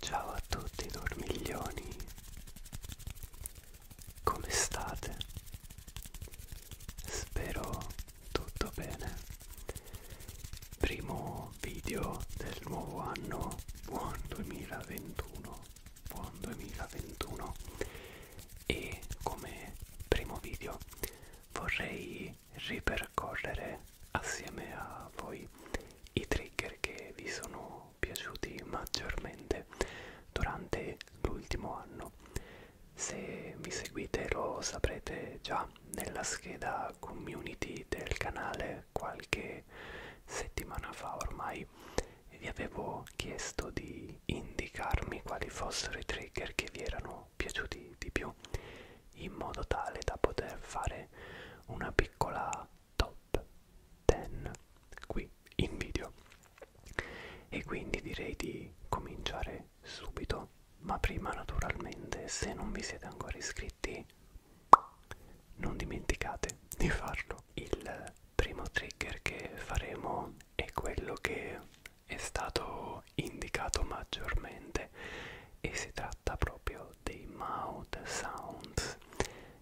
Ciao a tutti dormiglioni, come state? Spero tutto bene. Primo video del nuovo anno, buon 2021, buon 2021 e come primo video vorrei ripercorrere assieme a voi i trigger che vi sono piaciuti maggiormente durante l'ultimo anno. Se mi seguite lo saprete già nella scheda community del canale qualche settimana fa ormai vi avevo chiesto di indicarmi quali fossero i trigger che vi erano sono piaciuti di più in modo tale da poter fare una piccola top 10 qui in video e quindi direi di cominciare subito ma prima naturalmente se non vi siete ancora iscritti non dimenticate di farlo il primo trigger che faremo è quello che è stato indicato maggiormente e si tratta proprio dei mouth sounds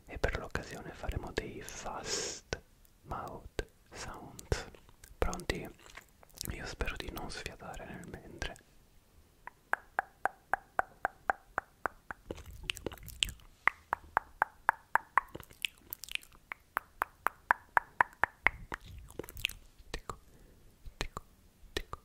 e per l'occasione faremo dei fast mouth sounds pronti? io spero di non sfiatare nel mentre Tico, tico, tico,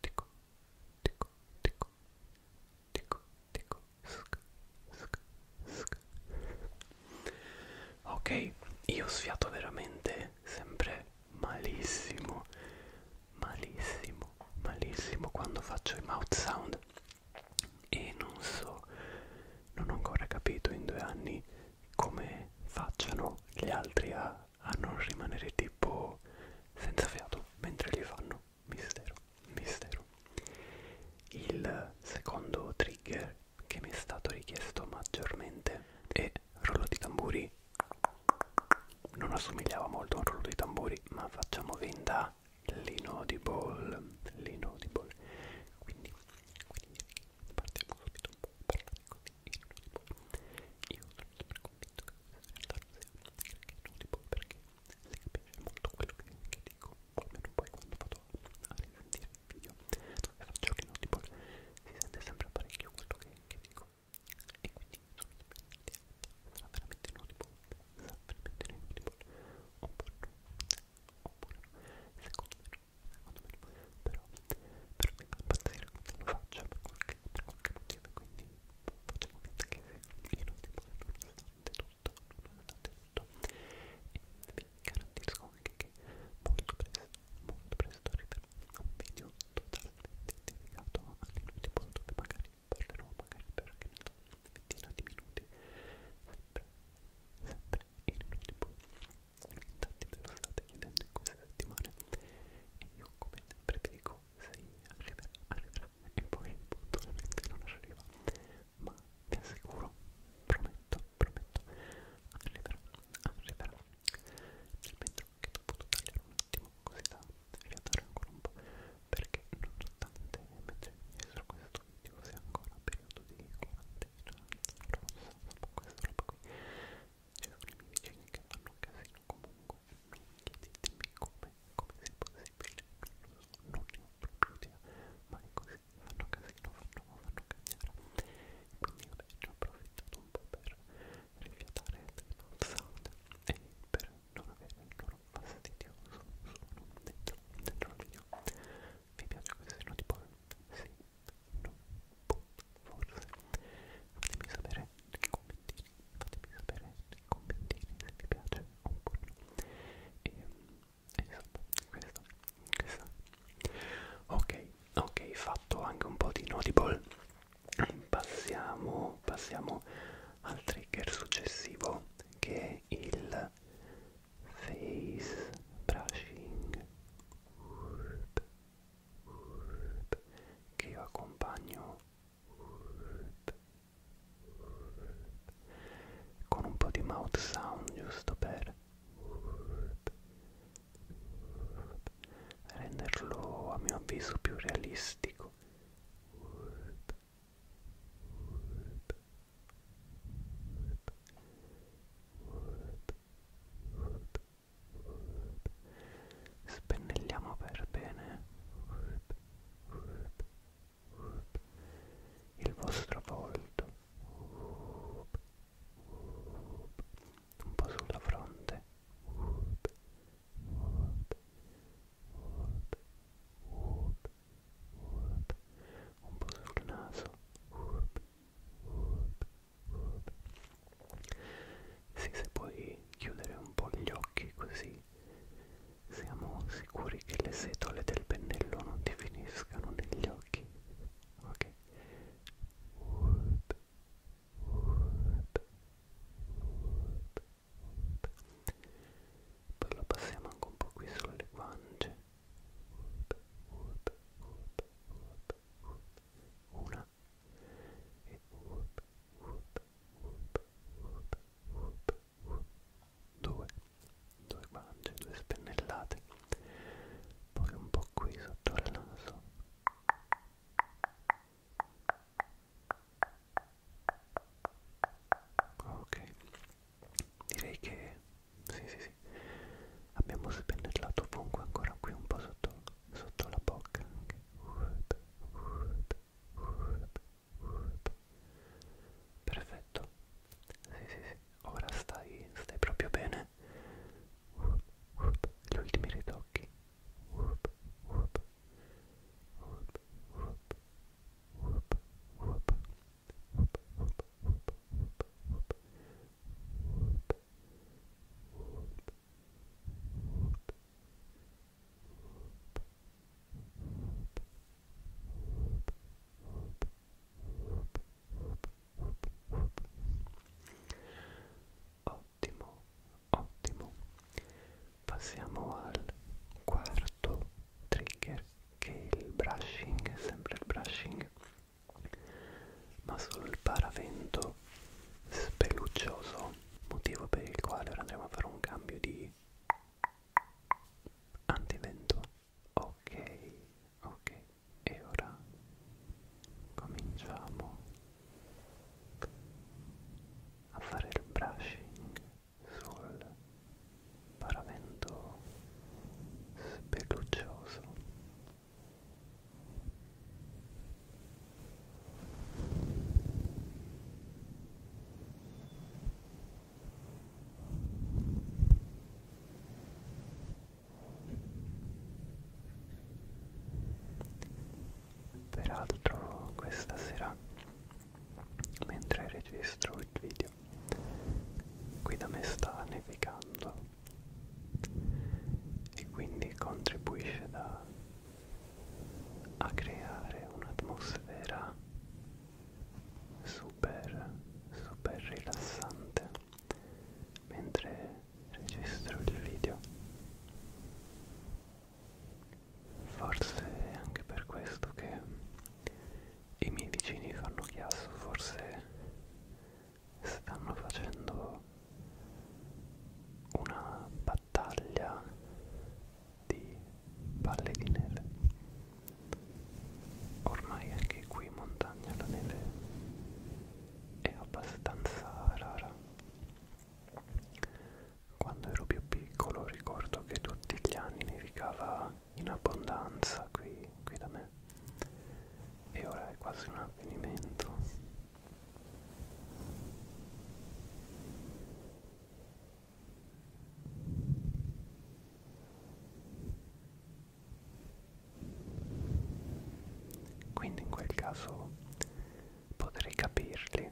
Tico, tico, tico, tico, tico. Sc, sc, sc. Ok, io sfiato veramente sempre malissimo, malissimo, malissimo quando faccio i mouth sound e non so, non ho ancora capito in due anni come facciano gli altri a a non rimanere tipo senza fiato mentre li fanno mistero mistero il secondo trigger che mi è stato richiesto maggiormente è rollo di tamburi non assomigliava molto a un rollo di tamburi ma facciamo venda l'inaudible l'inaudible quindi, quindi partiamo subito un po' parlando ecco io non li può io sono sempre convinto che questa sia una storia che non li può perché si capisce molto quello che, che dico almeno poi quando vado a risentire il video dove faccio che non li può si sente sempre parecchio quello che, che dico e quindi sono sempre sarà veramente non li può sarà veramente non li può oppure oppure secondo me secondo me però per me fa impazzire quando lo faccio per qualche, per qualche motivo quindi facciamo finta che sia inutile, nonostante tutto, nonostante tutto. E vi garantisco anche che molto presto, molto presto arriverà un video totalmente dedicato all'inutile dove magari parlerò magari per anche una ventina di minuti, sempre, sempre inutile. Tanti me lo state chiedendo in queste settimane e io come sempre vi dico no, sì, arriverà, arriverà e poi puntualmente non arriva, ma vi assicuro, prometto, prometto, arriverà, arriverà. Nel mentre che ho potuto tagliare un attimo così da riatare ancora un po', perché nonostante mentre registro questo video sia ancora periodo di quarantena rossa, questo roba qui ci sono i miei vicini che fanno un casino comunque non chiedetemi come, come sia possibile non lo so, non ne ho proprio idea ma è così, fanno casino, fanno, fanno cagnare quindi vabbè ci ho approfittato un po' per rifiatare il non sound e per non avere il loro fastidioso suono dentro, dentro il video vi piace questo tipo? sì? no? boh forse fatemi sapere nei commentini fatemi sapere nei commentini se vi piace oppure no e, e insomma questo, questo ok ok fatto anche un po' di notable passiamo passiamo al trigger successivo che è il face brushing Urp che io accompagno con un po' di mouth sound giusto per renderlo a mio avviso più realistico Word, word, word, Spennelliamo per bene il vostro volto, un po' sulla fronte, un po' sul naso sì, se puoi chiudere un po' gli occhi così siamo sicuri che le setole del pennello non ti finiscano negli occhi. Ok. Urp, urp, urp, urp. Poi lo passiamo anche un po' qui sulle guance. Urp, urp, urp, urp, urp. Una e whoop, whoop, whoop, whoop, whoop, whoop. due due guance, due spennellate poi un po' qui sotto il naso ok direi che sì sì sì abbiamo spennellato ovunque ancora qui un po' sotto sotto la bocca anche wood, wood, wood, wood. Perfetto. Sì, sì, sì. Ora stai, stai proprio bene. Wood, wood. Gli ultimi ritocchi. Wood, wood. Wood, wood. Woop, woop, woop, woop, woop, woop, woop, woop, woop, Ottimo, ottimo. Passiamo al quarto trigger che è il brushing, sempre il brushing, ma solo il paravento speluccioso, motivo per il quale ora andremo a fare un cambio di antivento. Ok, ok, e ora cominciamo a fare il brushing sul paravento speluccioso Peraltro questa sera, mentre registro il video, qui da me sta nevicando e quindi contribuisce da a creare un'atmosfera super super rilassante mentre registro il video forse è anche per questo che i miei vicini fanno chiasso forse stanno facendo una battaglia di palle di neve ormai anche qui in montagna la neve è abbastanza rara quando ero più piccolo ricordo che tutti gli anni nevicava in abbondanza qui, qui da me e ora è quasi un avvenimento quindi in quel caso potrei capirli.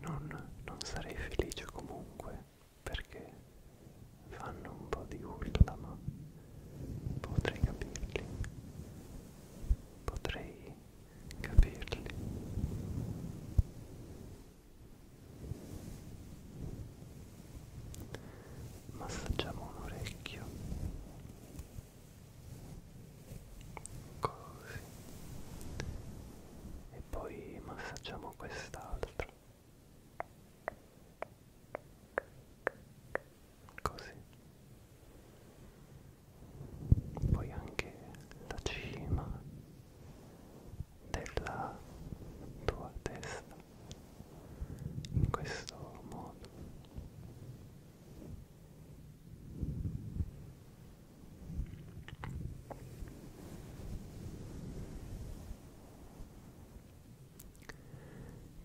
Non, non sarei felice comunque perché fanno un po' di urla ma potrei capirli potrei capirli. Massaggiamo un orecchio. Così. E poi massaggiamo quest'altro così poi anche la cima della tua testa in questo modo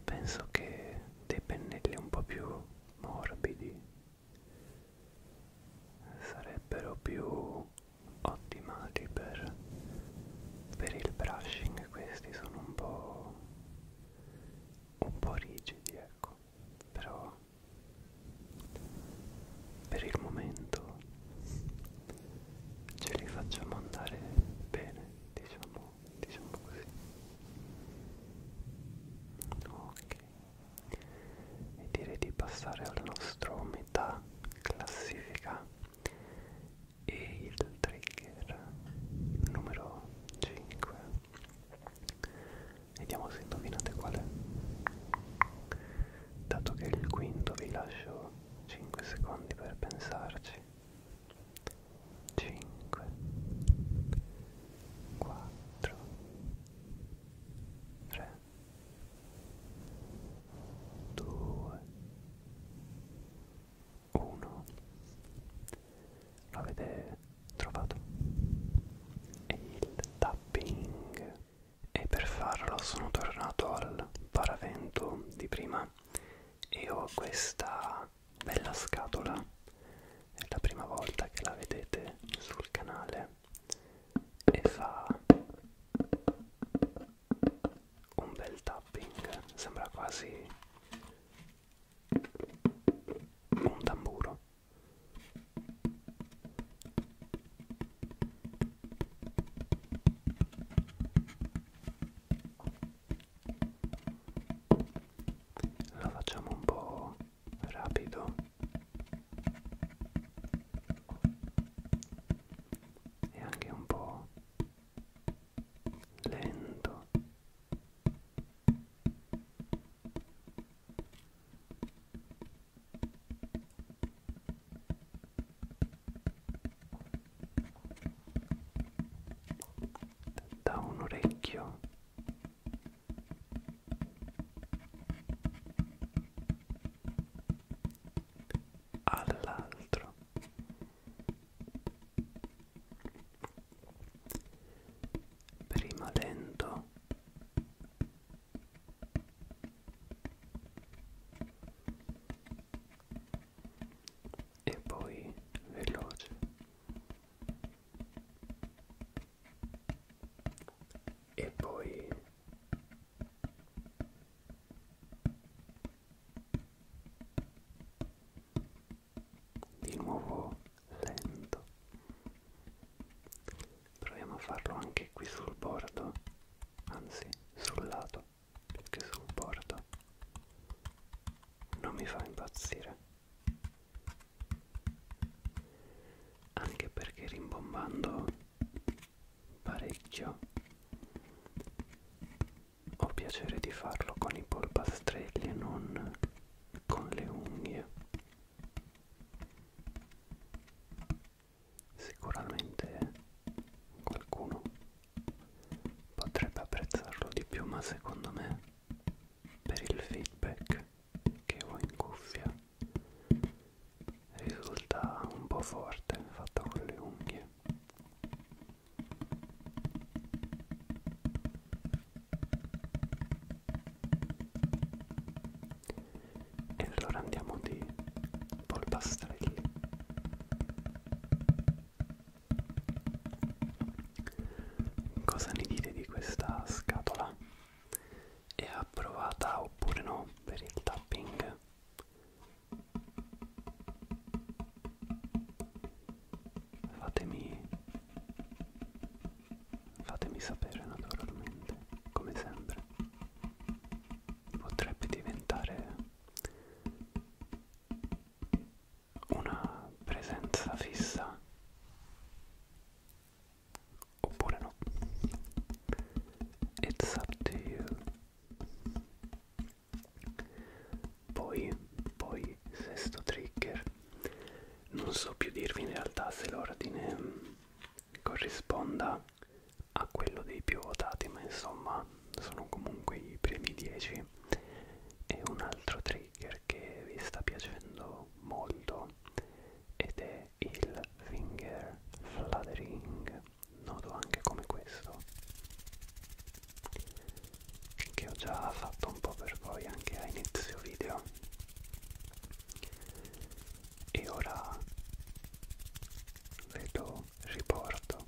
Penso che dei pennelli un po' più morbidi sarebbero più ottimali per, per il brushing questi sono un po' un po' rigidi ecco però per il momento ce li facciamo andare bene diciamo diciamo così ok e direi di passare al nostro metà classifica e il trigger numero 5 vediamo se indovinate qual è dato che il quinto vi lascio 5 secondi per pensarci 5 4 3 2 1 l'avete trovato e il tapping e per farlo sono tornato al paravento di prima e ho questa bella scatola è la prima volta che la vedete sul canale e fa un bel tapping sembra quasi un tamburo la facciamo un po' rapido e anche un po' lento da un orecchio all'altro prima lento e poi veloce e poi di nuovo lento proviamo a farlo anche qui sul bordo anzi sul lato perché sul bordo non mi fa impazzire anche perché rimbombando parecchio ho piacere di farlo con i polpastrelli e non con le unghie sicuramente qualcuno potrebbe apprezzarlo di più ma secondo me per il feedback che ho in cuffia risulta un po' forte fatto con le unghie e allora andiamo di polpastrelli Cosa ne dite di questa scatola? È approvata oppure no per il tapping? Fatemi fatemi sapere naturalmente, come sempre. Potrebbe diventare una presenza fissa oppure no it's up to you poi poi sesto trigger non so più dirvi in realtà se l'ordine mm, corrisponda a quello dei più votati ma insomma sono comunque i primi 10 e un altro trigger perché vi sta piacendo molto ed è il finger fluttering noto anche come questo che ho già fatto un po' per voi anche a inizio video e ora ve lo riporto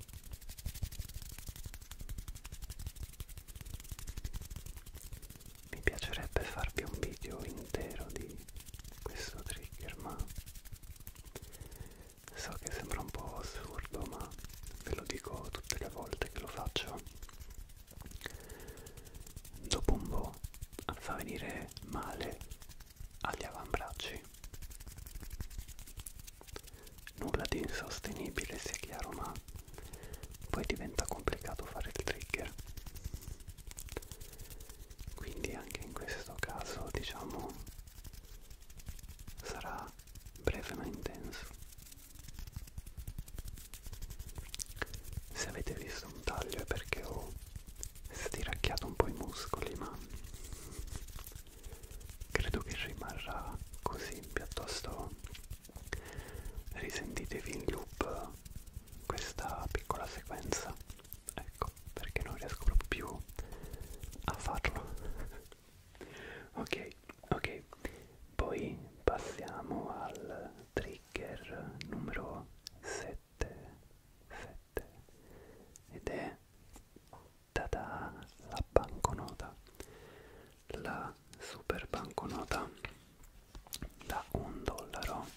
mi piacerebbe farvi un video intero di questo trigger ma so che sembra un po' assurdo ma ve lo dico tutte le volte che lo faccio dopo un po' fa venire male agli avambracci nulla di insostenibile sia chiaro ma poi diventa complicato fare il trigger quindi anche in questo caso diciamo sarà breve ma intenso se avete visto un taglio è perché ho stiracchiato un po' i muscoli ma credo che rimarrà così piuttosto risentitevi in loop questa piccola sequenza ecco perché non riesco proprio più a farlo ok ok poi passiamo al trigger numero 7 7 ed è tada la banconota la super banconota da un dollaro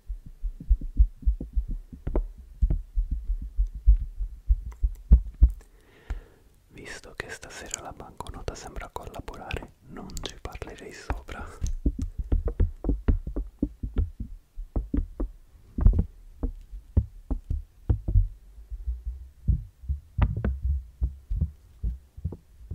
Visto che stasera la banconota sembra collaborare, non ci parlerei sopra.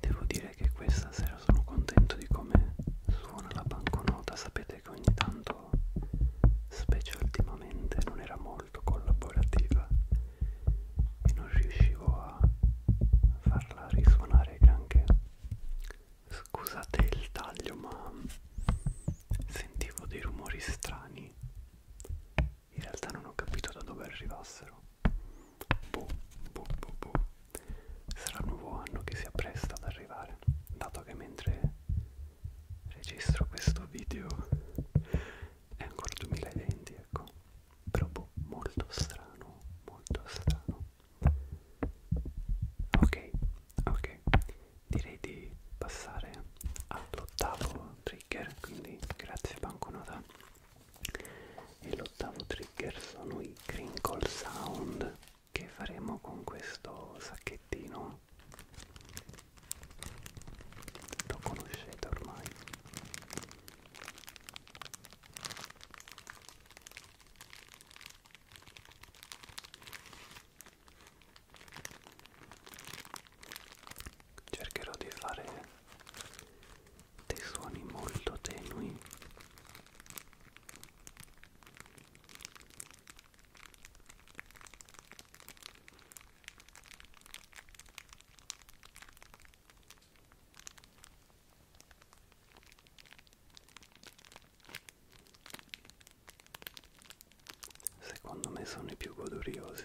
Devo dire che questa sera sono contento di come suona la banconota, sapete che ogni tanto specie ultimamente ultimamente non era molto collaborativa e non riuscivo a farla risuonare granché. Scusate il taglio ma sentivo dei rumori strani. In realtà non ho capito da dove arrivassero. Boh, boh, boh, boh. Sarà il nuovo anno che si appresta ad arrivare, dato che mentre registro questo video è ancora 2020 ecco però boh, molto strano molto strano ok ok direi di passare all'ottavo trigger quindi grazie banconota e l'ottavo trigger sono i crinkle sound che faremo con questo sacchettino Dio lo conoscete ormai cercherò di fare dei suoni molto tenui Secondo me sono i più goduriosi.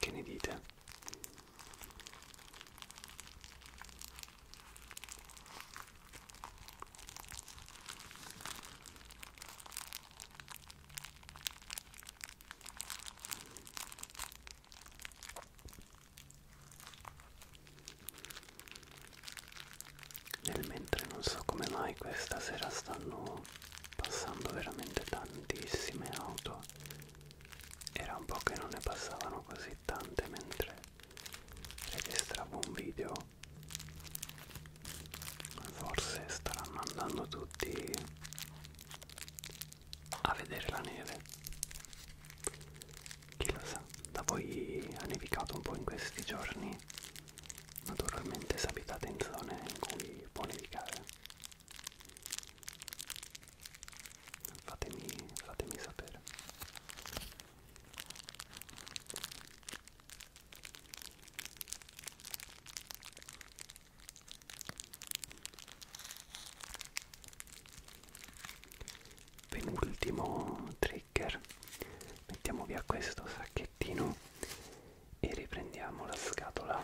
Che ne dite? Nel mentre non so come mai questa sera stanno passando veramente tantissime auto. Era un po' che non ne passavano così tante mentre registravo un video Forse staranno andando tutti a vedere la neve. Chi lo sa, da voi ha nevicato un po' in questi giorni. Naturalmente se abitate in zone in cui può nevicare. Fatemi, fatemi sapere. Penultimo trigger, mettiamo via questo sacchettino e riprendiamo la scatola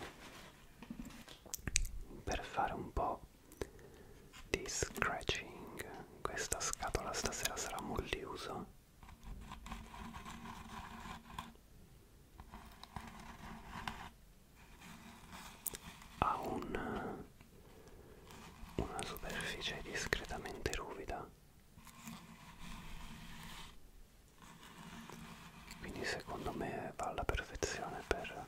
per fare un po' di scratching. Questa scatola stasera sarà multiuso ha un, una superficie discretamente ruvida quindi secondo me va alla perfezione per,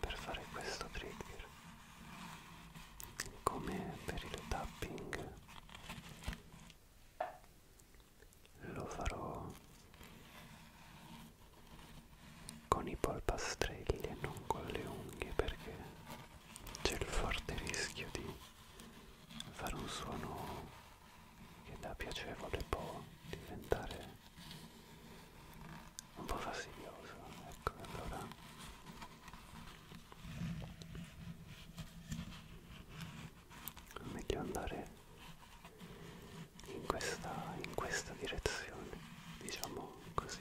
per fare questo trigger come per il tapping lo farò con i polpastrelli e non con le unghie perché c'è il forte rischio di fare un suono che da piacevole può diventare un po' fastidioso ecco allora meglio andare in questa, in questa direzione diciamo così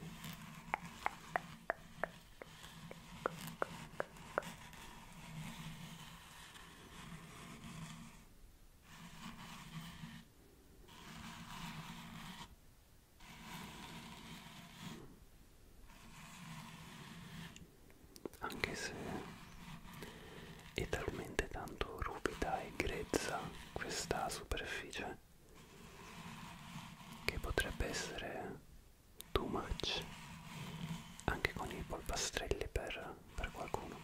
anche se è talmente tanto ruvida e grezza questa superficie che potrebbe essere too much anche con i polpastrelli per, per qualcuno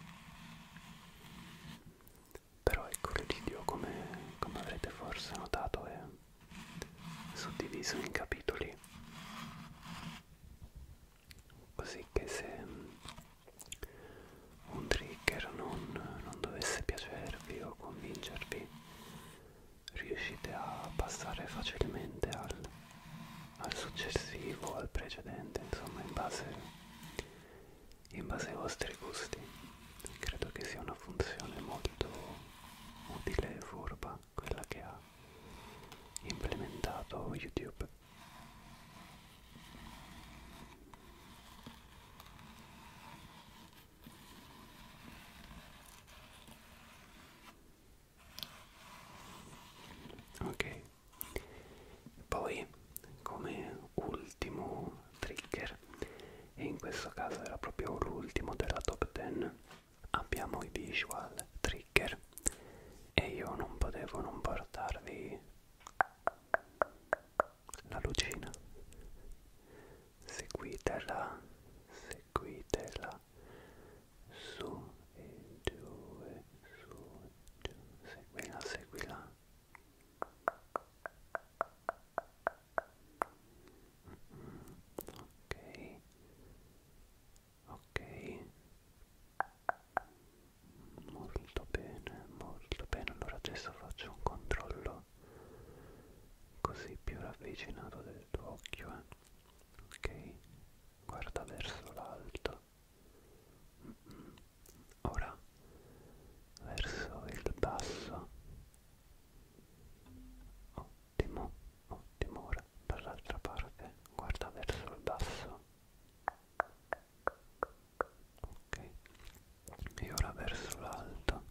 però ecco l'iddio come, come avrete forse notato è suddiviso in capitoli così che se un trigger non, non dovesse piacervi o convincervi riuscite a passare facilmente al, al successivo al precedente insomma in base in base ai vostri gusti credo che sia una funzione molto utile e furba quella che ha implementato YouTube ok poi come ultimo trigger piacere cioè, e in questo caso era proprio l'ultimo della top 10 abbiamo i visual trigger e io non potevo non portarvi la lucina seguitela seguitela su e giù e su e giù seguila seguila ok ok molto bene molto bene allora adesso faccio un controllo così più ravvicinato del tuo occhio eh. ok guarda verso l'alto mm -mm. ora verso il basso Ottimo, ottimo. Ora dall'altra parte, guarda verso il basso. Ok. E ora verso l'alto.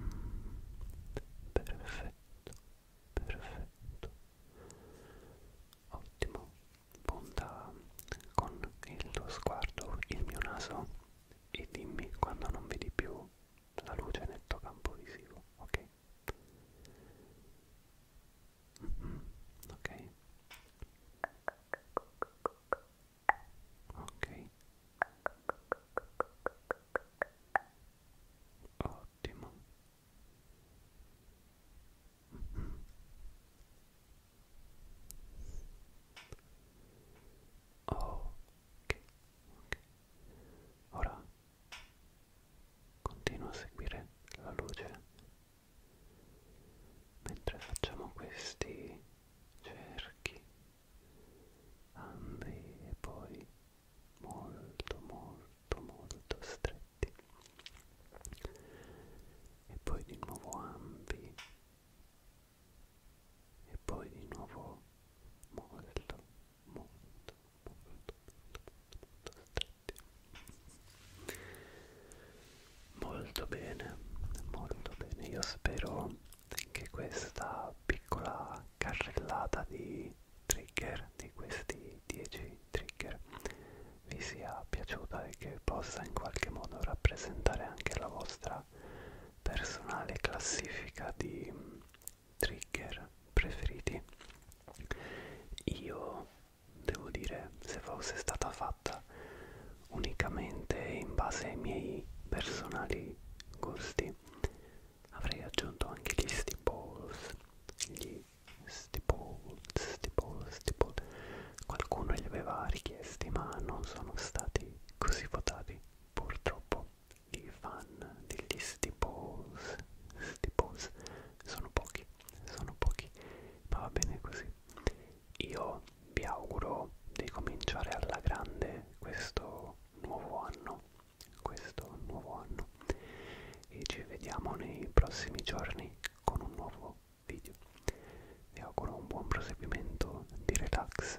Mm, perfetto, perfetto. Ottimo. Punta con il tuo sguardo il mio naso e dimmi quando non vedi più la luce nel tuo campo visivo, ok? Mm -hmm, ok? Ok. Ottimo. Mm -hmm. Oh, ok, ok. Ora continua a seguire la luce mentre facciamo questi cerchi ambi e poi molto molto molto stretti e poi di nuovo ambi e poi di nuovo molto molto molto molto stretti molto bene molto bene io spero che questa piccola carrellata di trigger di questi 10 trigger vi sia piaciuta e che possa in qualche modo rappresentare anche la vostra personale classifica di mm, trigger preferiti io devo dire se fosse stata fatta unicamente in base ai miei personali gusti avrei aggiunto anche gli stiples gli stipple stipple stipple qualcuno li aveva richiesti ma non sono stati così votati purtroppo i fan degli Staples, Staples sono pochi, sono pochi, ma va bene così. Io vi auguro di cominciare alla grande questo nuovo anno, questo nuovo anno e ci vediamo nei prossimi giorni con un nuovo video. Vi auguro un buon proseguimento di relax